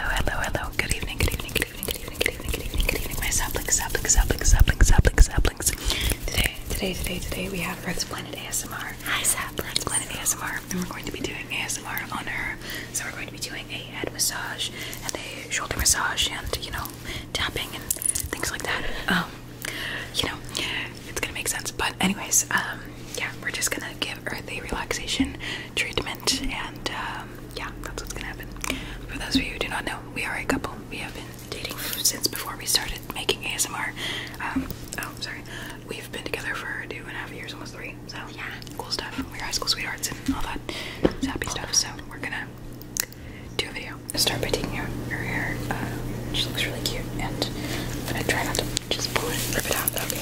hello, hello. Good evening, good evening, good evening, good evening, good evening, good evening, good evening, my saplings, saplings, saplings, saplings, saplings, saplings. Today, today, today, today, we have Earth Planet ASMR. Hi, saplings. Earth Planet ASMR, and we're going to be doing ASMR on her. So we're going to be doing a head massage and a shoulder massage and, you know, tapping and things like that. Um, you know, it's gonna make sense. But anyways, um, yeah, we're just gonna give Earth a relaxation treatment, and um, yeah, that's what's gonna happen. For those of you who do not know, we are a couple. We have been dating since before we started making ASMR. Um, oh, sorry, we've been together for two and a half years, almost three. So yeah, cool stuff. We're high school sweethearts and all that happy stuff. So we're gonna do a video know, start by taking out her hair. Uh, she looks really cute, and I'm gonna try not to just pull it rip it out. Okay,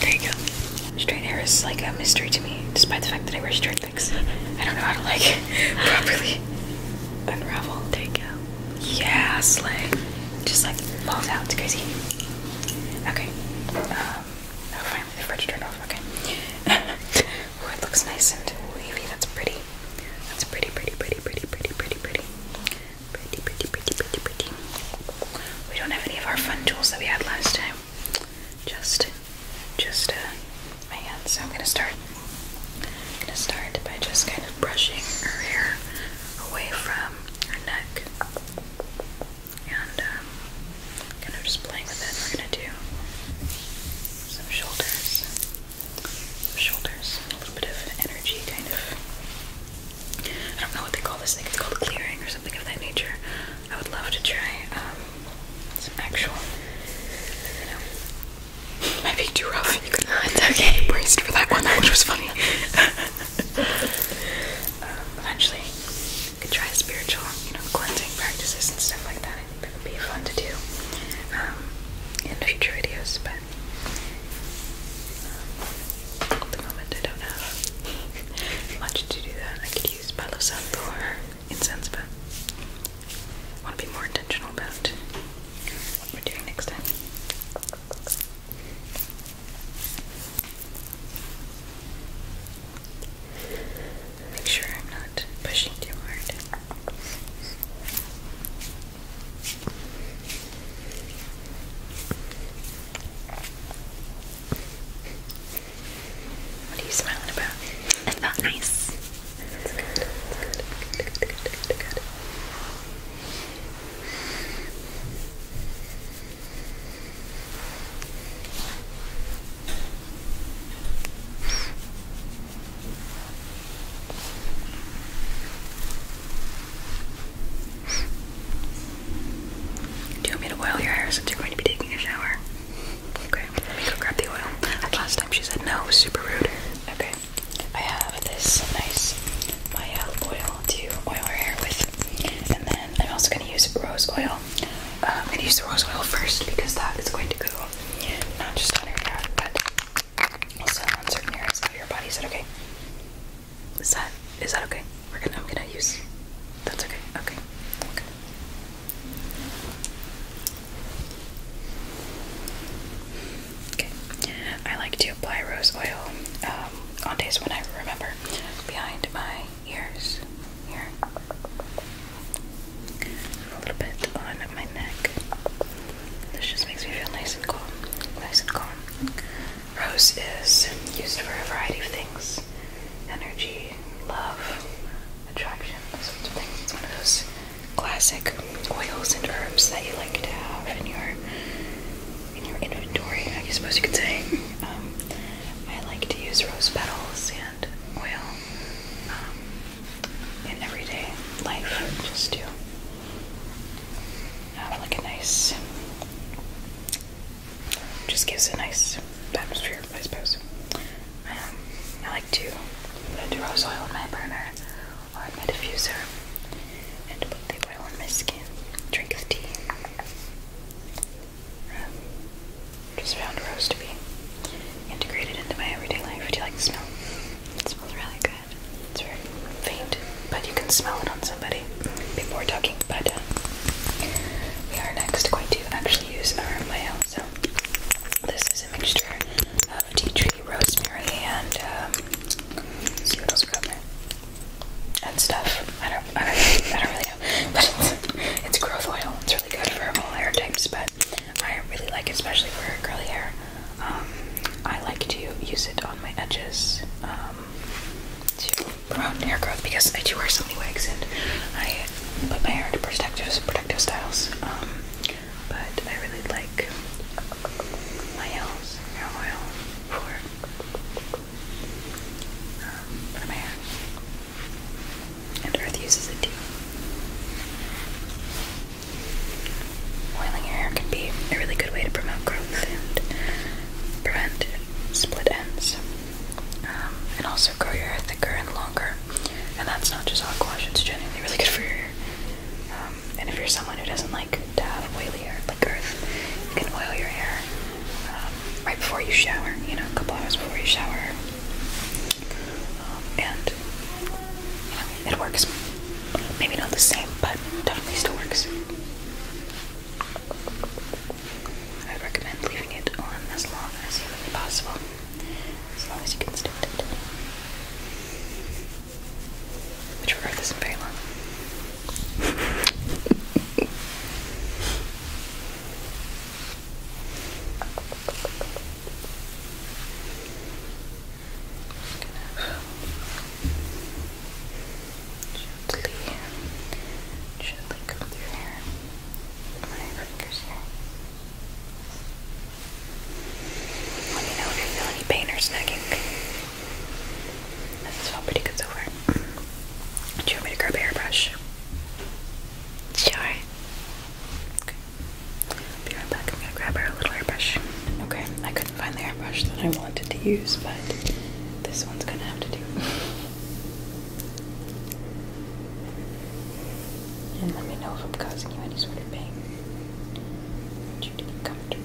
there you go. Straight hair is like a mystery to me, despite the fact that I wear straight things. I don't know how to like properly unravel. There you go. Yeah, slay. Just like falls out. It's crazy. Okay. Um, oh, finally the fridge turned off. Okay. oh, it looks nice and wavy. That's pretty. That's pretty, pretty, pretty, pretty, pretty, pretty, pretty. Pretty, pretty, pretty, pretty, pretty. We don't have any of our fun tools that we had last time. Just, just, uh, my hands. So I'm gonna start. I'm gonna start by just kind of brushing her hair away from her neck, and um, kind of just playing with it. We're gonna do some shoulders shoulders, a little bit of energy, kind of. I don't know what they call this thing. It's called clearing or something of that nature. I would love to try um, some actual. might be too rough. It's okay. Braced for that one, which was funny. Um, eventually, could try spiritual, you know, cleansing practices and stuff like that. It think would be fun to do um, in future videos, but um, at the moment I don't have much to do that. I could use Palo Santo or incense, but I want to be more intentional about what we're doing next time. Make sure I'm not pushing too hard. What are you smiling about? It felt nice. Do you want me to oil your hair since you're going to be taking a shower? Okay, let me go grab the oil. Last time she said no, super rude. Okay, I have this nice Maya oil to oil her hair with, and then I'm also going to use rose oil. Um, I'm going to use the rose oil first because that is going to go not just on your hair, but also on certain areas of your body. Is that okay? Is that is that okay? We're gonna I'm gonna use that's okay. Okay. Okay. Okay. I like to apply rose oil um, on days when I remember behind my ears here a little bit on my neck. This just makes me feel nice and calm. Nice and calm. Rose is used for a variety of things energy, love, attraction, sorts of things. It's one of those classic oils and herbs that you like to have in your in your inventory, I suppose you could say. Um, I like to use rose petals and oil um, in everyday life just to have like a nice just gives a nice atmosphere, I suppose. Um, I like to put rose oil in my burner or in my diffuser and put the oil on my skin, drink the tea. Um, just found rose to be integrated into my everyday life. Do you like the smell? It smells really good. It's very faint, but you can smell it on somebody before talking. But uh, we are next going to actually use our mayo. So this is a mixture of tea tree, rosemary, and um, stuff. I don't. I don't. really know. But it's, it's growth oil. It's really good for all hair types, but I really like it, especially for curly hair. Um, I like to use it on my edges um, to promote hair growth because I do wear so many wigs and I put my hair into protective, protective styles. Um, but I really like my nails, hair oil for my hair. And Earth uses it too. Oiling your hair can be a really good way to promote growth and prevent split ends. Um, and also grow your hair thicker and longer. And that's not just hot wash, it's genuinely really good for your hair. Um, and if you're someone who doesn't like to have oily hair like Earth, you can oil your hair um, right before you shower, you know, a couple hours before you shower. Um, and it works. Maybe not the same, but definitely still works. I would recommend leaving it on as long as humanly possible, as long as you can stand it. Which regard this isn't Gently, gently comb through here. My fingers here. Let me know if you feel any pain or snagging. This has felt pretty good so far. Do you want me to grab a hairbrush? Sure. Okay. Be right back. I'm gonna grab our little airbrush. Okay, I couldn't find the airbrush that I wanted to use, but this one's gonna have to do. and let me know if I'm causing you any sort of pain. you to be comfortable.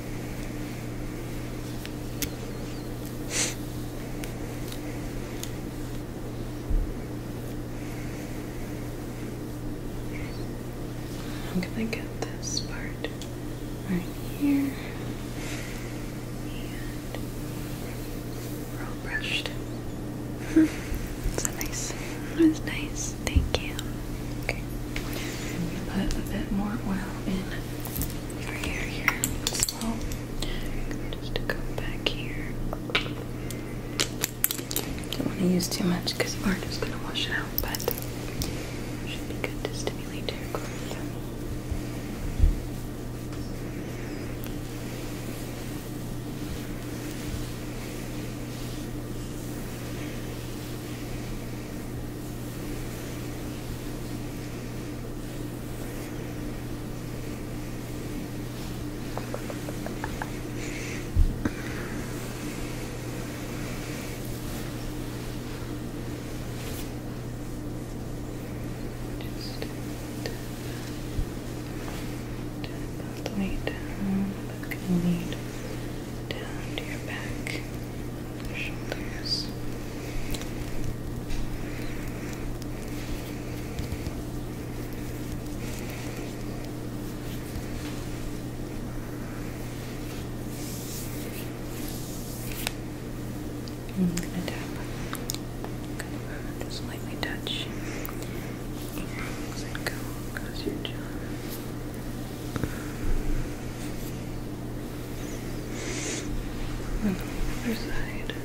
I'm gonna get this part right here and roll brushed. it's nice, it was nice. Thank you. Okay. Put a bit more oil in your hair here. Slow. Just go back here. Don't want to use too much because you are just going to wash it out, but should be good to stimulate your growth. Just turn that down, that can down to your back, shoulders. I'm gonna tap, just lightly touch lungs and go across your jaw. And other side.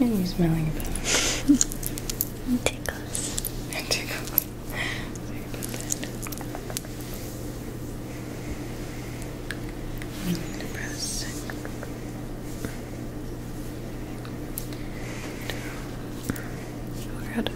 And you're smelling it. it tickles. It tickles. Sorry about that. I'm Oh, good.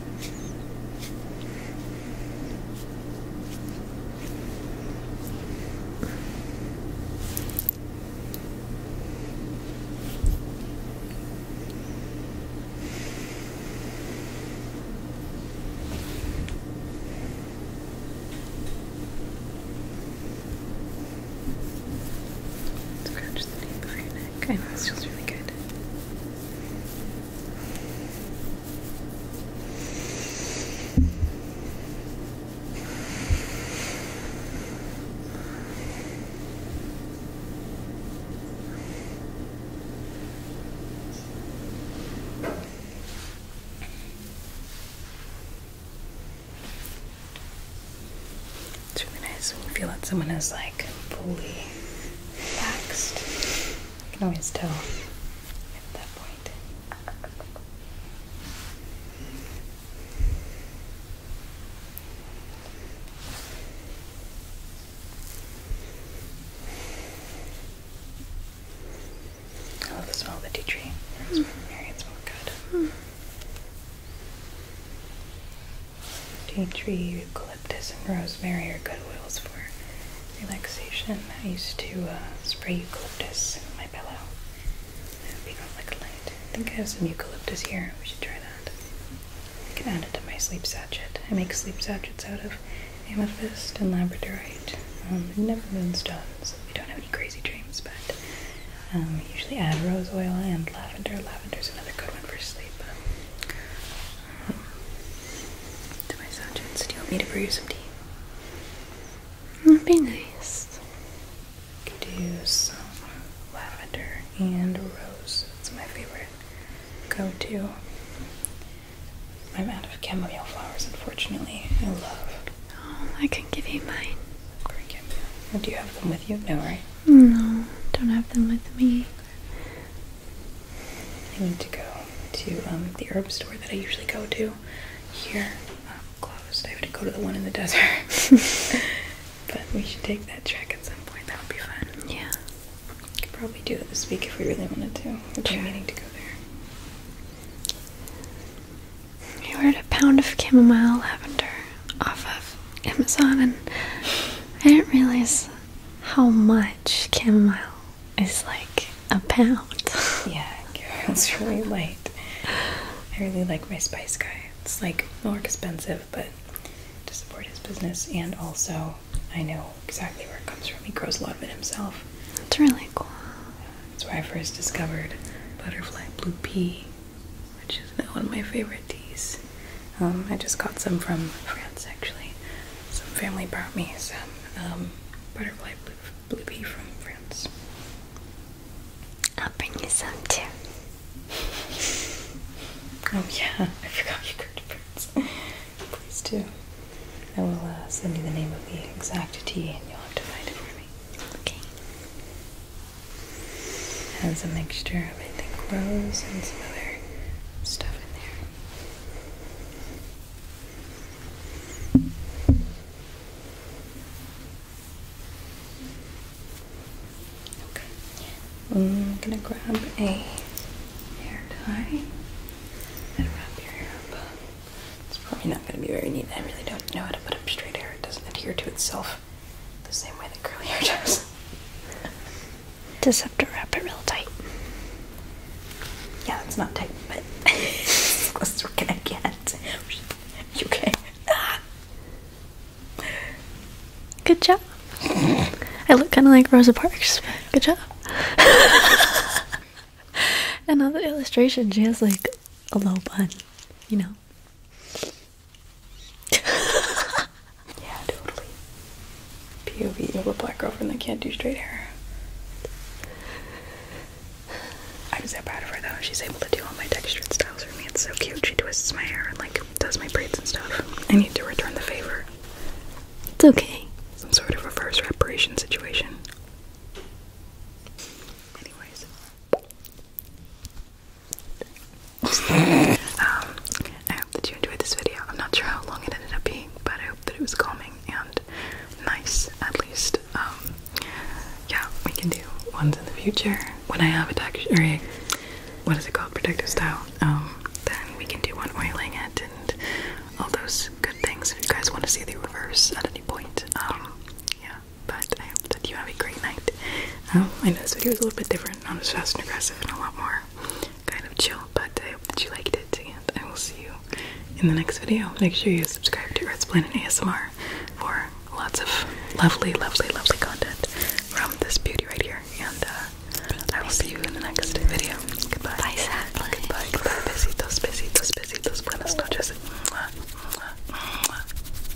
Scratch the nape of your neck. I know this feels really good. It's really nice when feel like someone is like fully relaxed. I can always tell at that point. I love the smell of the tea tree. it mm. smells good. Mm. Tea tree, eucalyptus, and rosemary are good oils for relaxation. I used to uh, spray eucalyptus in my pillow. That would be not like a light. I think I have some eucalyptus here. We should try that. I can add it to my sleep sachet. I make sleep sachets out of amethyst and labradorite. Um, never moonstones. we don't have any crazy dreams, but um, I usually add rose oil and lavender. Lavender is another good one for sleep to my sergeants, do you want me to brew some tea? That'd be nice. We can do some lavender and rose. It's my favorite go-to. I'm out of chamomile flowers, unfortunately. I love. Oh, I can give you mine. Green chamomile. Do you have them with you? No, right? No, don't have them with me. I need to go to um, the herb store that I usually go to here. Um, closed. I have to go to the one in the desert. but we should take that trek at some point. That would be fun. Yeah. We could probably do it this week if we really wanted to. We're sure. meaning to go there. I ordered a pound of chamomile lavender off of Amazon and I didn't realize how much chamomile is like a pound. yeah, it's really light. I really like my Spice Guy. It's like more expensive, but to support his business, and also I know exactly where it comes from. He grows a lot of it himself. That's really cool. That's where I first discovered butterfly blue pea which is one of my favorite teas. Um, I just got some from France actually. Some family brought me some um, butterfly blue, blue pea from France. I'll bring you some too. oh yeah, I forgot you go to France. Please do. I will uh, send you the name of the exact tea and you'll have to find it for me. Okay. Has a mixture of I think rose and some other stuff in there. Okay, I'm gonna grab a hair tie and wrap your hair up. It's probably not gonna be very neat. I really don't know how to put up straight hair. It doesn't adhere to itself the same way that curly hair does. Just have to wrap it real tight. Yeah, it's not tight, but let's work it again. You okay? Good job. I look kind of like Rosa Parks. Good job. Another illustration. She has like a low bun, you know. yeah, totally. POV, you have a black girlfriend that can't do straight hair. I'm so proud of her though. She's able to do all my textured styles for me. It's so cute. She twists my hair and like does my braids and stuff. I need to return the favor. It's okay. Some sort of reverse reparation situation. Anyways. Um, I hope that you enjoyed this video. I'm not sure how long it ended up being, but I hope that it was calming and nice, at least. Um, yeah, we can do ones in the future when I have a texture, or what is it called, protective style. Um, then we can do one oiling it and all those good things. If you guys want to see the reverse at any point, yeah but I hope that you have a great night. Um, I know this video is a little bit different, not as fast and aggressive, and a lot more kind of chill, but I hope that you liked it, and I will see you in the next video. Make sure you subscribe to Earth's Planet ASMR for lots of lovely, lovely, lovely content from this beauty right here, and uh, I will see you in the next video. Goodbye. Bye, sadly. Goodbye, goodbye. Besitos, besitos, besitos. Buenas noches. Mwah, mwah, mwah.